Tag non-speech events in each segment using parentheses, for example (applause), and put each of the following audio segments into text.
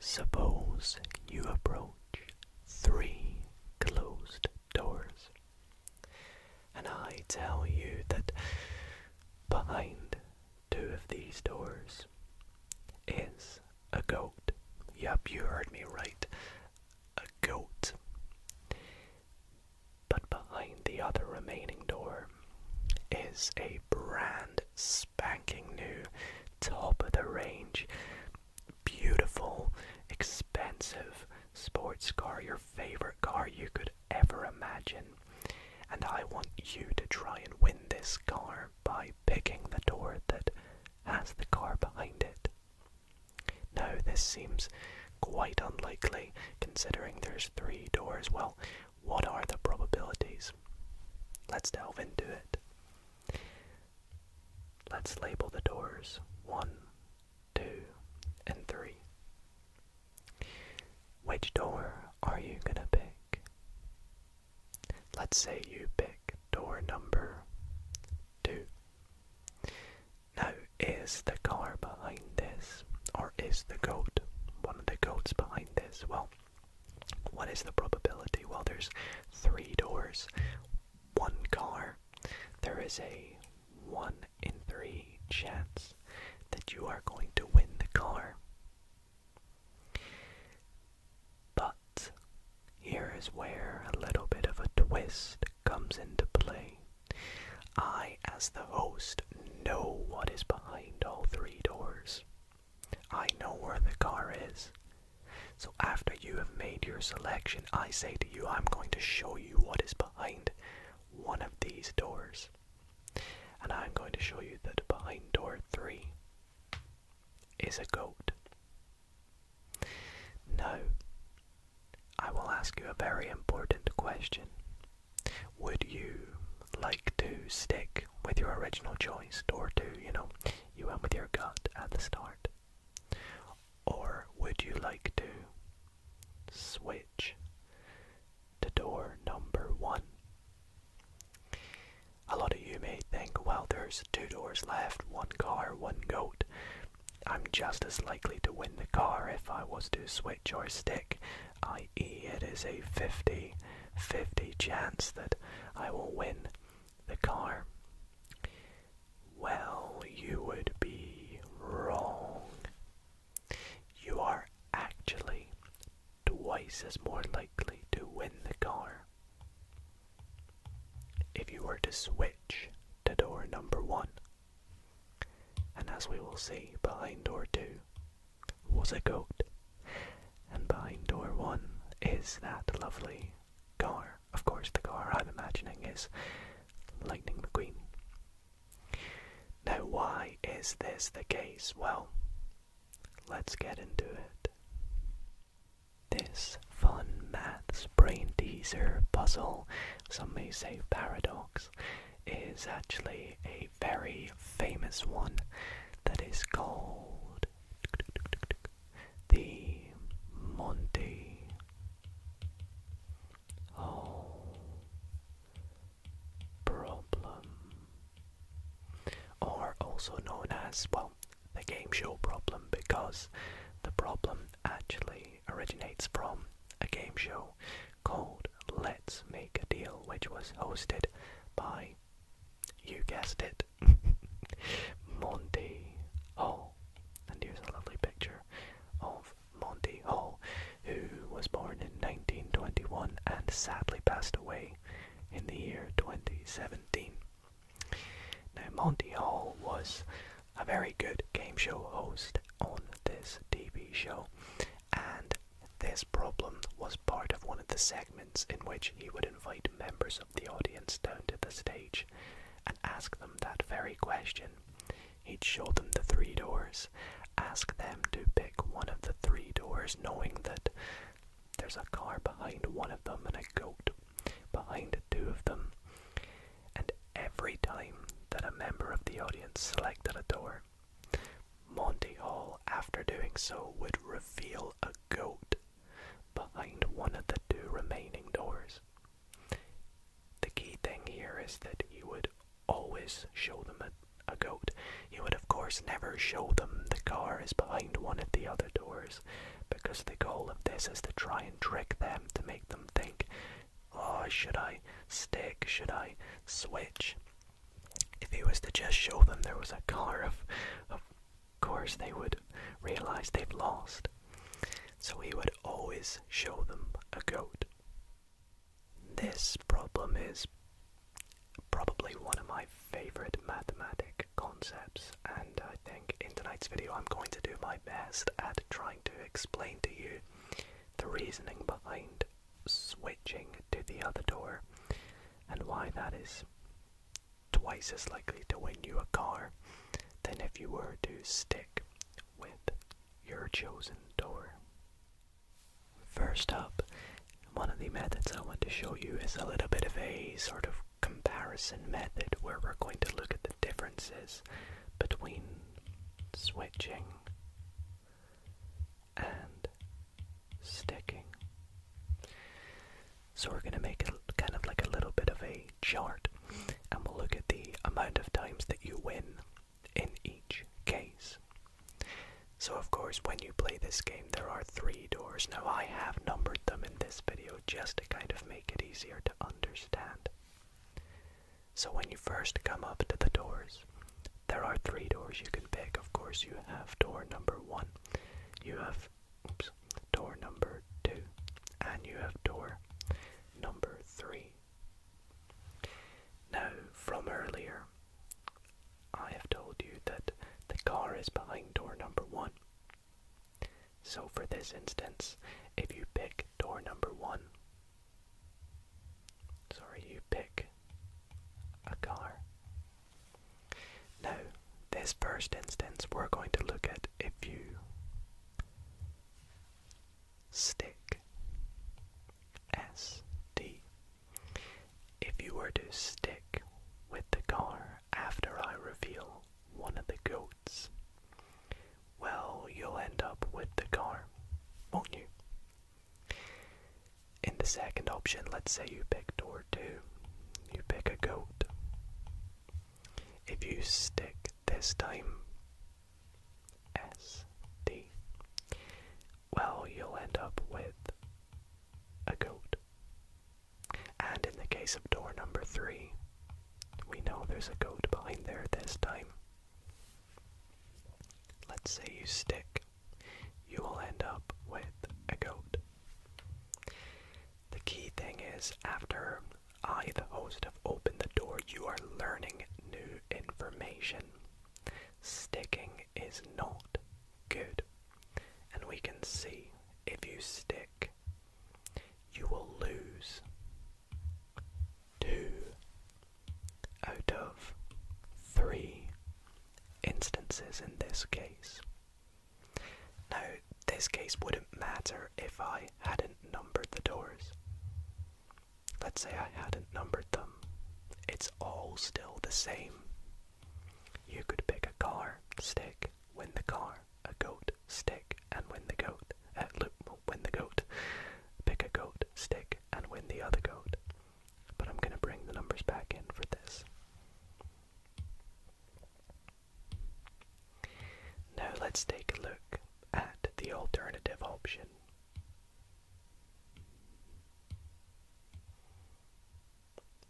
Suppose you approach three closed doors, and I tell you that behind two of these doors is a goat. Yep, you heard me right. A goat. But behind the other remaining door is a brand spanking new, top of the range, beautiful, expensive sports car, your favorite car you could ever imagine. And I want you to try and win this car by picking the door that has the car behind it. Now, this seems quite unlikely considering there's three doors. Well, what are the probabilities? Let's delve into it. Let's label the doors 1, 2, and 3. Which door are you gonna pick? Let's say you pick door number 2. Now, is the car behind this, or is the goat, one of the goats behind this? Well, what is the probability? Well, there's three doors, one car. There is a 1 in 3 chance that you are going to win the car. But here is where a little bit of a twist comes into play. I, as the host, know what is behind all three doors. I know where the car is. So after you have made your selection, I say to you, I'm going to show you what is behind one of these doors. And I'm going to show you that behind door three is a goat. Now, I will ask you a very important question. Would you like to stick with your original choice, or do you know you went with your gut at the start? Or would you like to switch to door number one? A lot of you may think, well, there's two doors left, one car, one goat. I'm just as likely to win the car if I was to switch or stick, i.e., it is a 50 50 chance that I will win the car. Well, you would be wrong. You are actually twice as more likely to win the car if you were to switch to door number one. And as we will see behind door two, was a goat. And behind door one is that lovely car. Of course, the car I'm imagining is Lightning McQueen. Now, why is this the case? Well, let's get into it. This fun maths brain teaser puzzle, some may say paradox, is actually a very famous one that is called the Monte. Whole problem, or also known as, well, the game show problem, because the problem actually originates from a game show called Let's Make a Deal, which was hosted by, you guessed it, (laughs) Monty Hall. And here's a lovely picture of Monty Hall, who was born in 1921 and sadly passed away in the year 2017. Now, Monty Hall was a very good game show host on this TV show, and this problem was part of one of the segments in which he would invite members of the audience down to the stage and ask them that very question. He'd show them the three doors, ask them to pick one of the three doors, knowing that there's a car behind one of them and a goat behind two of them. And every time that a member of the audience selected a door, Monty Hall, after doing so, would reveal a goat behind one of the two remaining doors. The key thing here is that he would always show them a, goat. He would, of course, never show them the car is behind one of the other doors, because the goal of this is to try and trick them to make them think, oh, should I stick? Should I switch? If he was to just show them there was a car, of, course they would realize they've lost. So he would always show them a goat. This problem is probably one of my favorite mathematical concepts, and I think in tonight's video I'm going to do my best at trying to explain to you the reasoning behind switching to the other door and why that is twice as likely to win you a car than if you were to stick with your chosen door. First up, one of the methods I want to show you is a little bit of a sort of comparison method where we're going to look at the differences between switching and sticking. So we're going to make kind of like a little bit of a chart and we'll look at the amount of times that you win in each case. So of course when you play this game there are three doors. Now I have numbered them in this video just to kind of make it easier to understand. So when you first come up to the doors, there are three doors you can pick. Of course you have door number one, you have oops, door number two, and you have door number three. Now, from earlier, I have told you that the car is behind door number one. So, for this instance, if you pick door number one, sorry, you pick a car now, this first instance, we're going to look at if you stick S D. If you were to stick with the car after I reveal one of the goats, well, you'll end up with the car, won't you? In the second option, let's say you pick door two, you pick a goat. If you stick this time S D, well, you'll end up with a goat. And in the case of door number three, we know there's a goat behind there this time. Let's say you stick you will end up with a goat. The key thing is, after I, the host, have opened the door, you are learning new information. Sticking is not good, and we can see if you stick, you will lose two out of three instances in this case. Now, this case wouldn't matter if I hadn't numbered the doors. Let's say I hadn't numbered them. It's all still the same. You could pick a car, stick, win the car, a goat, stick, and win the goat. Uh, look, win the goat. Pick a goat, stick, and win the other goat. But I'm going to bring the numbers back in for this. Now let's take a look at the alternative option.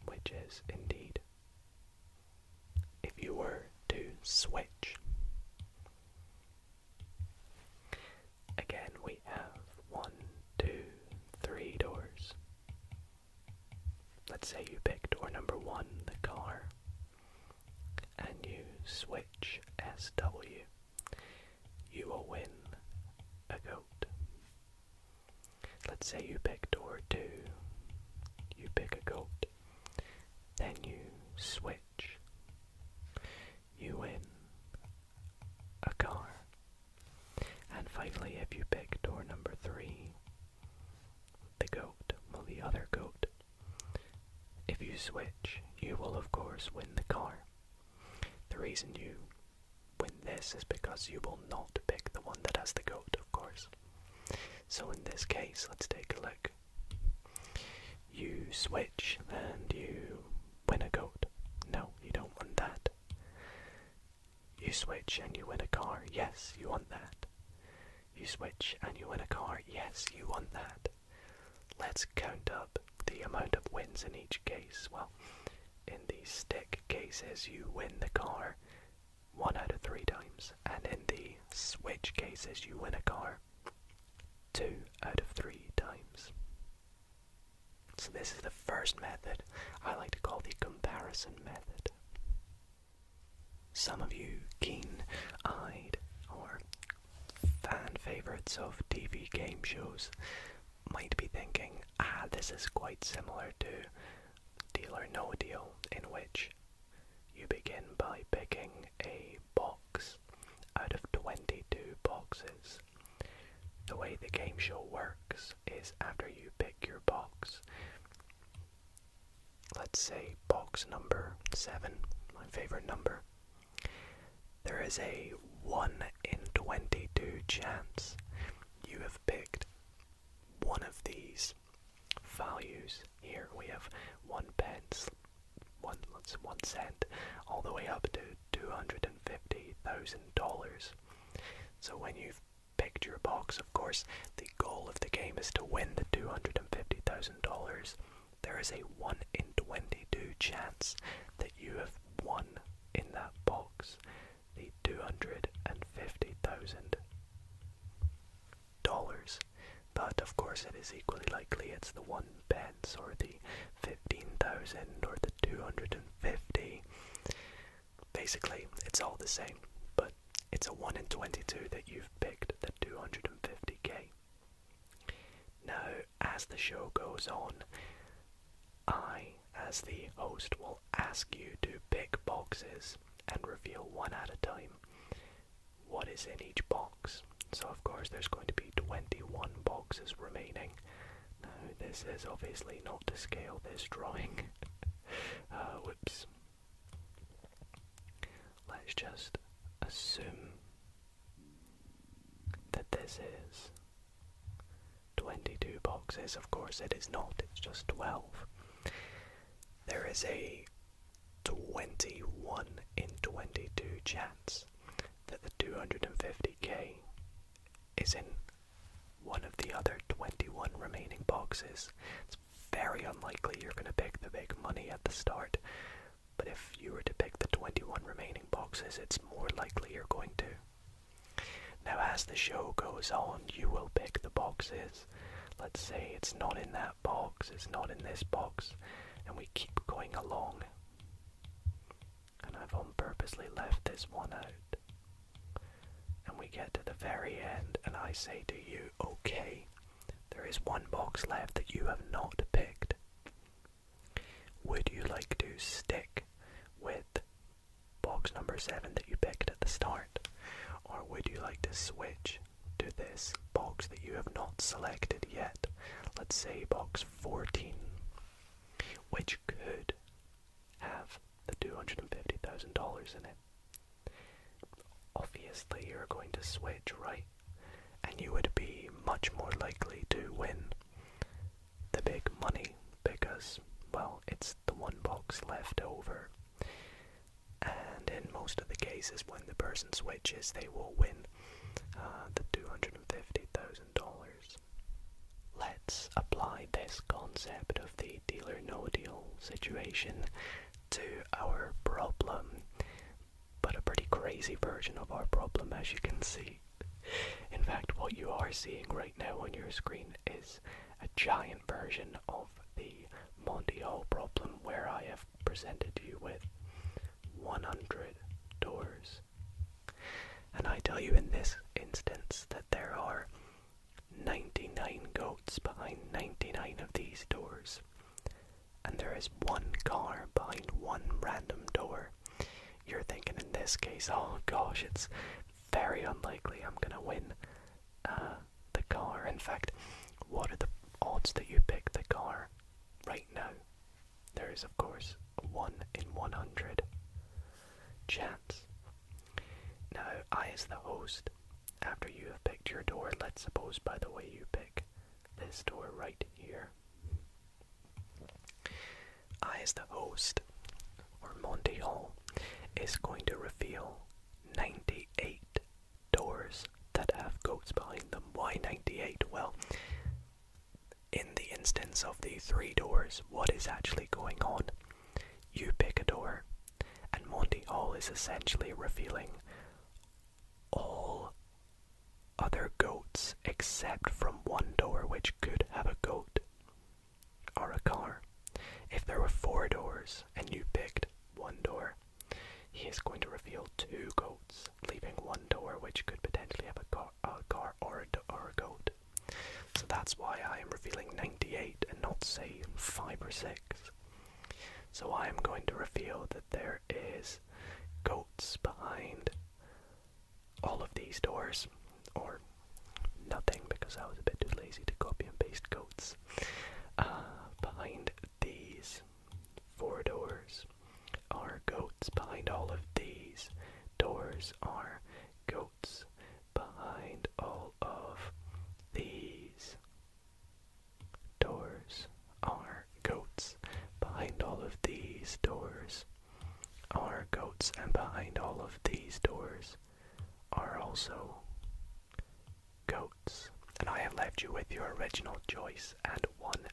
Which is indeed, if you were to switch. Again, we have one, two, three doors. Let's say you pick door number one, the car, and you switch SW. You will win a goat. Let's say you pick door two, you pick a goat, then you switch. You win a car. And finally, if you pick door number three, the goat, well, the other goat, if you switch, you will of course win the car. The reason you win this is because you will not pick the one that has the goat, of course. So in this case, let's take a look. You switch and you win a goat. No, you don't want that. You switch and you win a car. Yes, you want that. You switch and you win a car. Yes, you want that. Let's count up the amount of wins in each case. Well, in the stick cases, you win the car one out of three times, and in the switch cases, you win a car two out of three times. So this is the first method I like to call the comparison method. Some of you keen-eyed or fan favorites of TV game shows might be thinking, ah, this is quite similar to Deal or No Deal, in which you begin by picking a box out of 22 boxes the way the game show works is after you pick your box, let's say box number 7, my favorite number, there is a 1 in 22 chance you have picked one of these values. Here we have 1 pence, 1, 1 cent, all the way up to $250,000. So when you've picked your box, of course, the goal of the game is to win the $250,000. There is a 1 in 22 chance that you have won in that box the $250,000. But of course, it is equally likely it's the 1 pence or the 15,000 or the. 250. Basically, it's all the same, but it's a 1 in 22 that you've picked the 250k. Now, as the show goes on, I, as the host, will ask you to pick boxes and reveal one at a time what is in each box. So, of course, there's going to be 21 boxes remaining, now, this is obviously not to scale this drawing. (laughs) Uh, whoops. Let's just assume that this is 22 boxes. Of course, it is not, it's just 12. There is a 21 in 22 chance that the 250k is in one of the other 21 remaining boxes. It's very unlikely you're going to pick the big money at the start, but if you were to pick the 21 remaining boxes, it's more likely you're going to. Now, as the show goes on, you will pick the boxes. Let's say it's not in that box, it's not in this box, and we keep going along and I've on purposely left this one out. And we get to the very end, and I say to you, okay, there is one box left that you have not picked. Would you like to stick with box number seven that you picked at the start? Or would you like to switch to this box that you have not selected yet? Let's say box 14, which could have the $250,000 in it. Obviously, you're going to switch, right? And you would be much more likely to win the big money because, well, it's the one box left over. And in most of the cases, when the person switches, they will win uh, the $250,000. Let's apply this concept of the deal no deal situation to our problem, but a pretty crazy version of our problem, as you can see. In fact, what you are seeing right now on your screen is a giant version of the Monty Hall problem, where I have presented you with 100 doors and I tell you in this instance that there are 99 goats behind 99 of these doors. And there is one car behind one random door. You're thinking in this case, oh gosh, it's very unlikely I'm gonna win uh, the car. In fact, what are the odds that you pick the car right now? There is, of course, 1 in 100 chance. Now, I, as the host, after you have picked your door, let's suppose, by the way, you pick this door right here. I, as the host, or Monty Hall, is going to reveal 98 doors that have goats behind them. Why 98? Well, in the instance of the three doors, what is actually going on? You pick a door, and Monty Hall is essentially revealing all other goats except from one door, which could have a goat or a car. If there were four doors and you picked one door, he is going to reveal two goats, leaving one door, which could potentially have a car a car or a, goat. So that's why I am revealing 98 and not say 5 or 6. So I am going to reveal that there is goats behind all of these doors, or nothing because I was a bit too lazy to copy and paste goats. Uh, behind these four doors are goats, behind all of these doors these are goats behind all of these. Doors are goats. Behind all of these doors are goats, and behind all of these doors are also goats. And I have left you with your original choice and one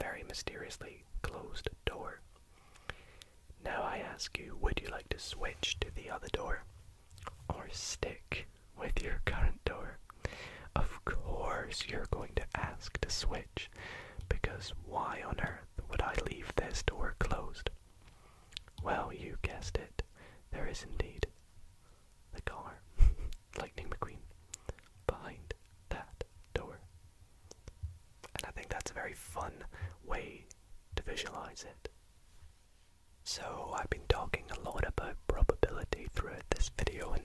very mysteriously closed door. Now I ask you, would you like to switch to the other door? Or stick with your current door? Of course, you're going to ask to switch, because why on earth would I leave this door closed? Well, you guessed it. There is indeed the car, (laughs) Lightning McQueen, behind that door. And I think that's a very fun way to visualize it. So, I've been talking a lot about probability throughout this video, and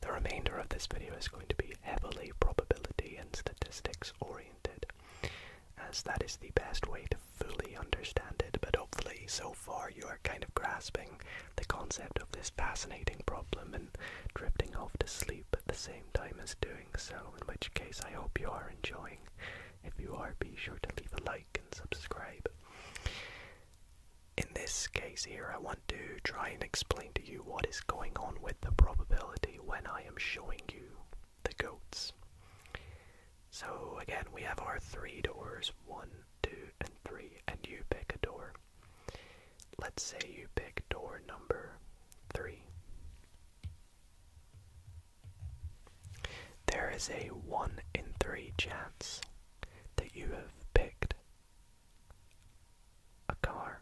the remainder of this video is going to be heavily probability and statistics oriented, as that is the best way to fully understand it. But hopefully, so far, you are kind of grasping the concept of this fascinating problem and drifting off to sleep at the same time as doing so, in which case I hope you are enjoying. If you are, be sure to leave a like and subscribe. In this case here, I want to try and explain to you what is going on with the probability when I am showing you the goats. So again, we have our three doors, one, two, and three, and you pick a door. Let's say you pick door number three. There is a one in three chance that you have picked a car.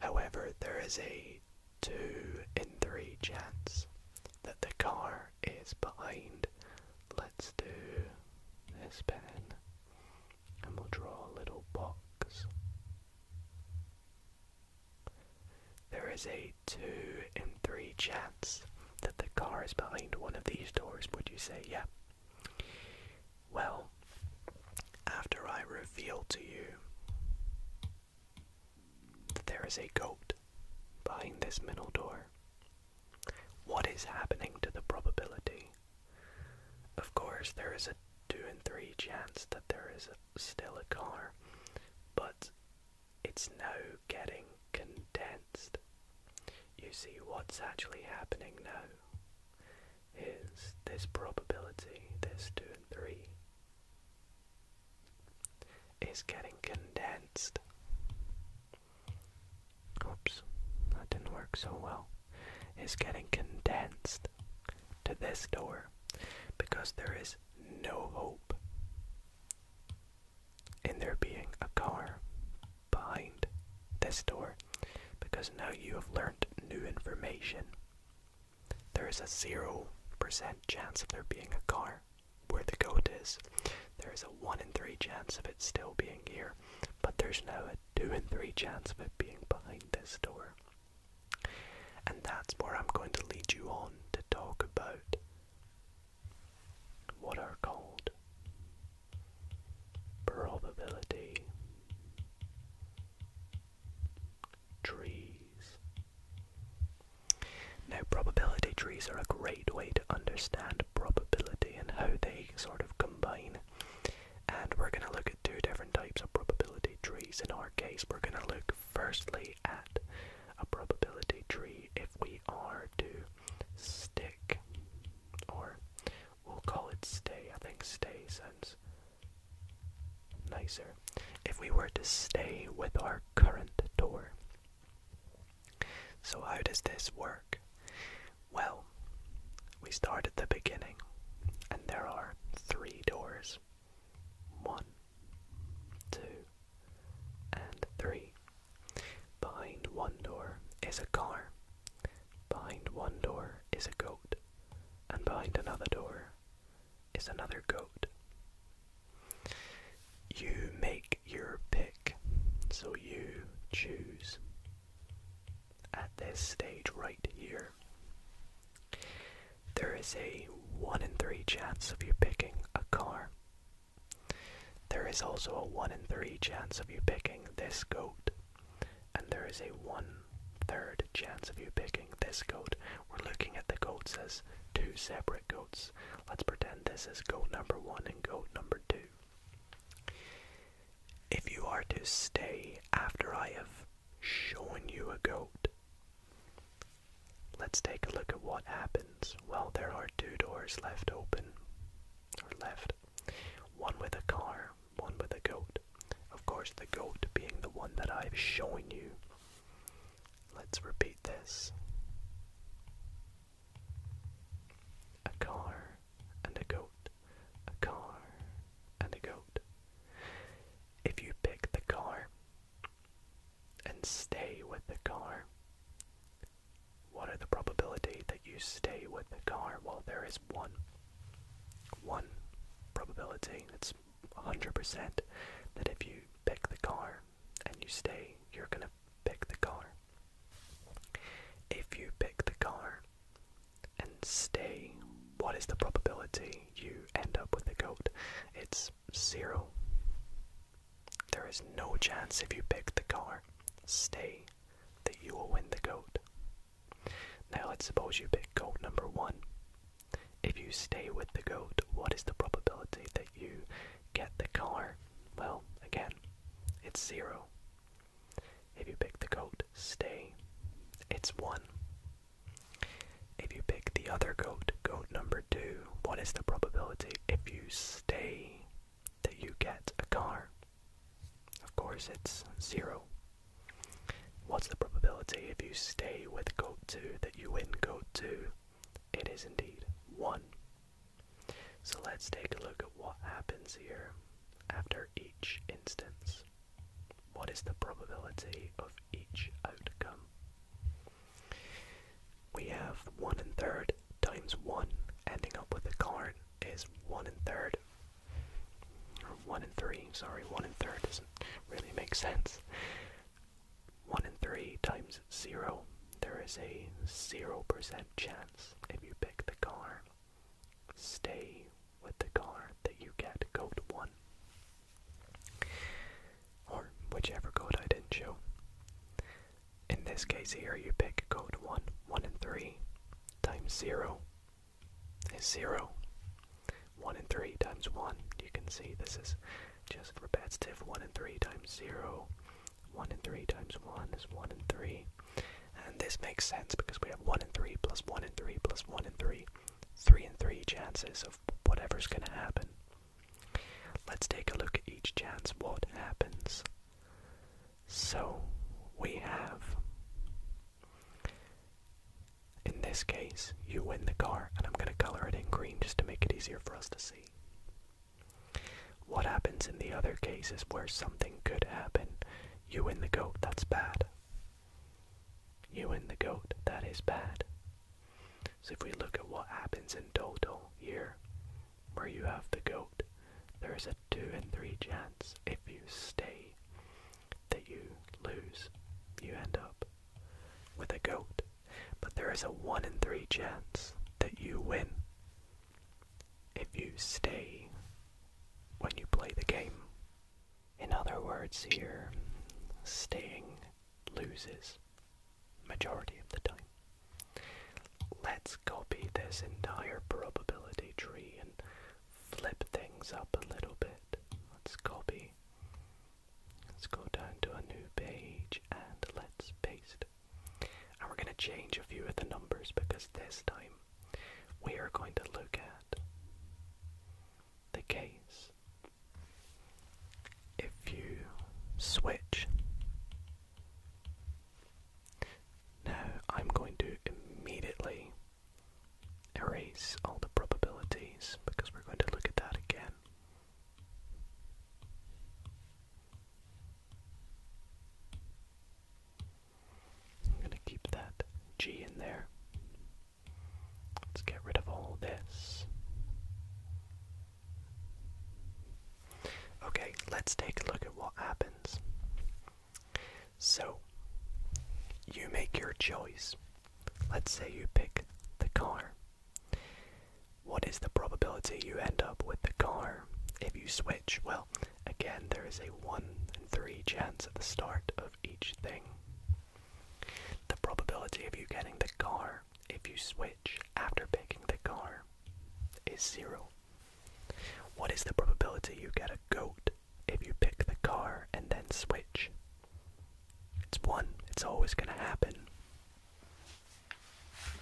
However, there is a two in three chance that the car is behind. Let's do this pen and we'll draw a little box. There is a two in three chance that the car is behind one of these doors, would you say? Yeah. Well, after I reveal to you that there is a goat behind this middle door, what is happening to the probability of course, there is a 2 in 3 chance that there is still a car, but it's now getting condensed. You see, what's actually happening now is this probability, this 2 and 3, is getting condensed oops, that didn't work so well, is getting condensed to this door because there is no hope in there being a car behind this door because now you have learned new information. There is a 0% chance of there being a car where the goat is. There is a 1 in 3 chance of it still being here, but there's no. 2 and 3 chance of it being behind this door. And that's where I'm going to lead you on to talk about what are called probability trees. Now, probability trees are a great way to understand probability and how they sort of combine and we're going to look at two different types of probability trees. In our case, we're going to look firstly at a probability tree if we are to stick, or we'll call it stay. I think stay sounds nicer. If we were to stay with our current door. So, how does this work? Well, we start at the beginning, and there are three doors one, two, and three. Behind one door is a car, behind one door is a goat, and behind another door is another goat. You make your pick, so you choose at this stage right here, there is a 1 in 3 chance of you picking a car. There is also a 1 in 3 chance of you picking this goat, and there is a 1 third chance of you picking this goat. We're looking at the goats as two separate goats. Let's pretend this is goat number 1 and goat number 2. If you are to stay after I have shown you a goat, let's take a look at what happens. Well, there are two doors left open, or left. One with a car, one with a goat. Of course, the goat being the one that I've shown you. Let's repeat this. A car and a goat a car, and a goat. If you pick the car and stay with the car, what are the probability that you stay with the car? Well, there is one. One probability. It's 100% that if you pick the car and you stay, you're going to pick the car. If you pick the car and stay, what is the probability you end up with the goat? It's zero. There is no chance if you pick the car. stay that you will win the goat. Now let's suppose you pick goat number one. If you stay with the goat, what is the probability that you get the car? Well, again, it's zero. If you pick the goat, stay. It's one. If you pick the other goat, goat number two, what is the probability if you stay that you get a car? Of course, it's zero. What's the probability if you stay with goat two that you win goat two? It is indeed one. So let's take a look at what happens here after each instance? What is the probability of each outcome? We have 1 and third times 1 ending up with a card is 1 and third. 1 and 3, sorry, 1 and third doesn't really make sense. 1 and 3 times 0, there is a 0% chance if you pick the car stay with the color that you get code 1 or whichever code I didn't show. In this case here you pick code 1, 1 and 3 times 0 is 0. 1 and 3 times 1, you can see this is just repetitive. 1 and 3 times 0, 1 and 3 times 1 is 1 and 3. And this makes sense because we have 1 and 3 plus 1 and 3 plus 1 and 3, 3 and 3 chances of whatever's going to happen. Let's take a look at each chance, what happens. So we have. In this case, you win the car, and I'm going to color it in green just to make it easier for us to see. What happens in the other cases where something could happen you win the goat, that's bad. You win the goat, that is bad. So if we look at what happens in total here, where you have the goat, there is a 2 in 3 chance if you stay that you lose. You end up with a goat. But there is a 1 in 3 chance that you win if you stay when you play the game. In other words, here, staying loses majority of the time. Let's copy this entire probability tree and flip things up a little bit. Let's copy. Let's go down to a new page and let's paste. And we're going to change a few of the numbers because this time we are going to look at the case. If you switch, now I'm going to immediately erase all the probabilities because we're going to look at that again. I'm going to keep that G in there. Let's get rid of all this. Okay, let's take a look at what happens. So, you make your choice. Let's say you pick the car. What is the probability you end up with the car if you switch? Well, again, there is a 1 in 3 chance at the start of each thing. The probability of you getting the car if you switch after picking the car is 0. What is the probability you get a goat if you pick the car and then switch? It's 1. It's always going to happen.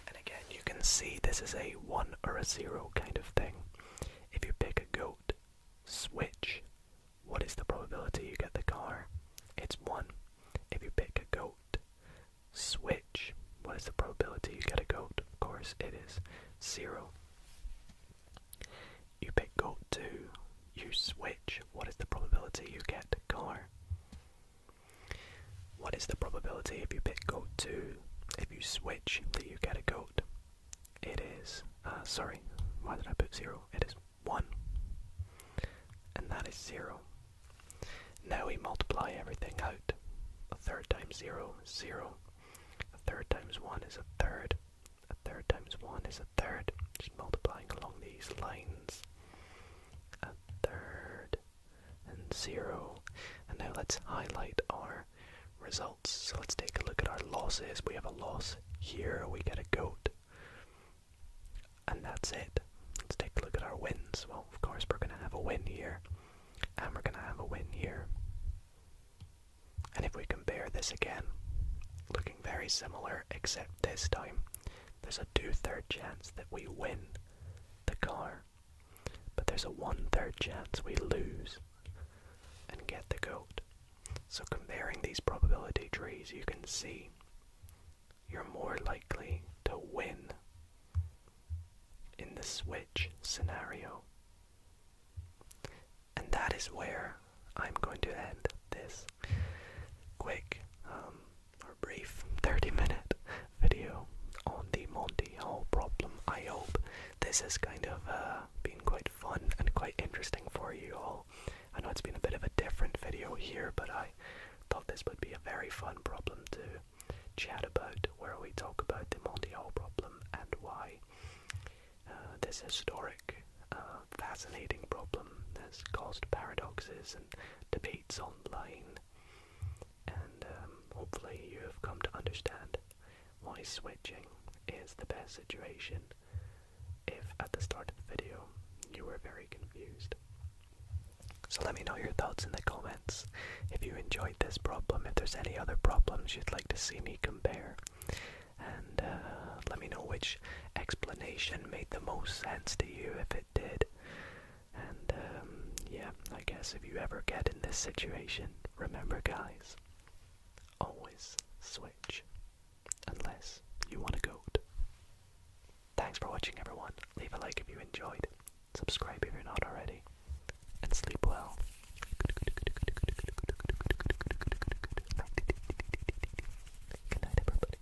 And again, you can see this is a 1 or a 0 kind of thing. If you pick a goat, switch, what is the probability you get the car? It's 1. If you pick a goat, switch, what is the probability you get a goat? Of course, it is 0. You pick goat 2, you switch, what is the probability you get a car? What is the probability if you pick goat 2? if you switch, that you get a goat. It is, uh, sorry, why did I put zero? It is one, and that is zero. Now we multiply everything out. A third times zero is zero. A third times one is a third. A third times one is a third. Just multiplying along these lines. A third and zero. And now let's highlight our results. So let's take a look at our losses. We have a loss here, we get a goat. And that's it. Let's take a look at our wins. Well, of course, we're going to have a win here, and we're going to have a win here. And if we compare this again, looking very similar, except this time there's a two third chance that we win the car. But there's a one third chance we lose and get the goat. So comparing these probability trees, you can see you're more likely to win in the switch scenario. And that is where I'm going to end this quick um, or brief 30 minute (laughs) video on the Monty Hall problem. I hope this has kind of uh, been quite fun and quite interesting for you all. I know it's been a bit of a different video here, but I thought this would be a very fun problem to chat about, where we talk about the Monty Hall problem and why uh, this historic, uh, fascinating problem has caused paradoxes and debates online and um, hopefully you have come to understand why switching is the best situation if at the start of the video you were very confused. So let me know your thoughts in the comments if you enjoyed this problem, if there's any other problems you'd like to see me compare, and uh, let me know which explanation made the most sense to you if it did. And um, yeah, I guess if you ever get in this situation, Remember, guys, always switch unless you want a goat. Thanks for watching, everyone. Leave a like if you enjoyed, subscribe if you're not already, and sleep well. Good everybody.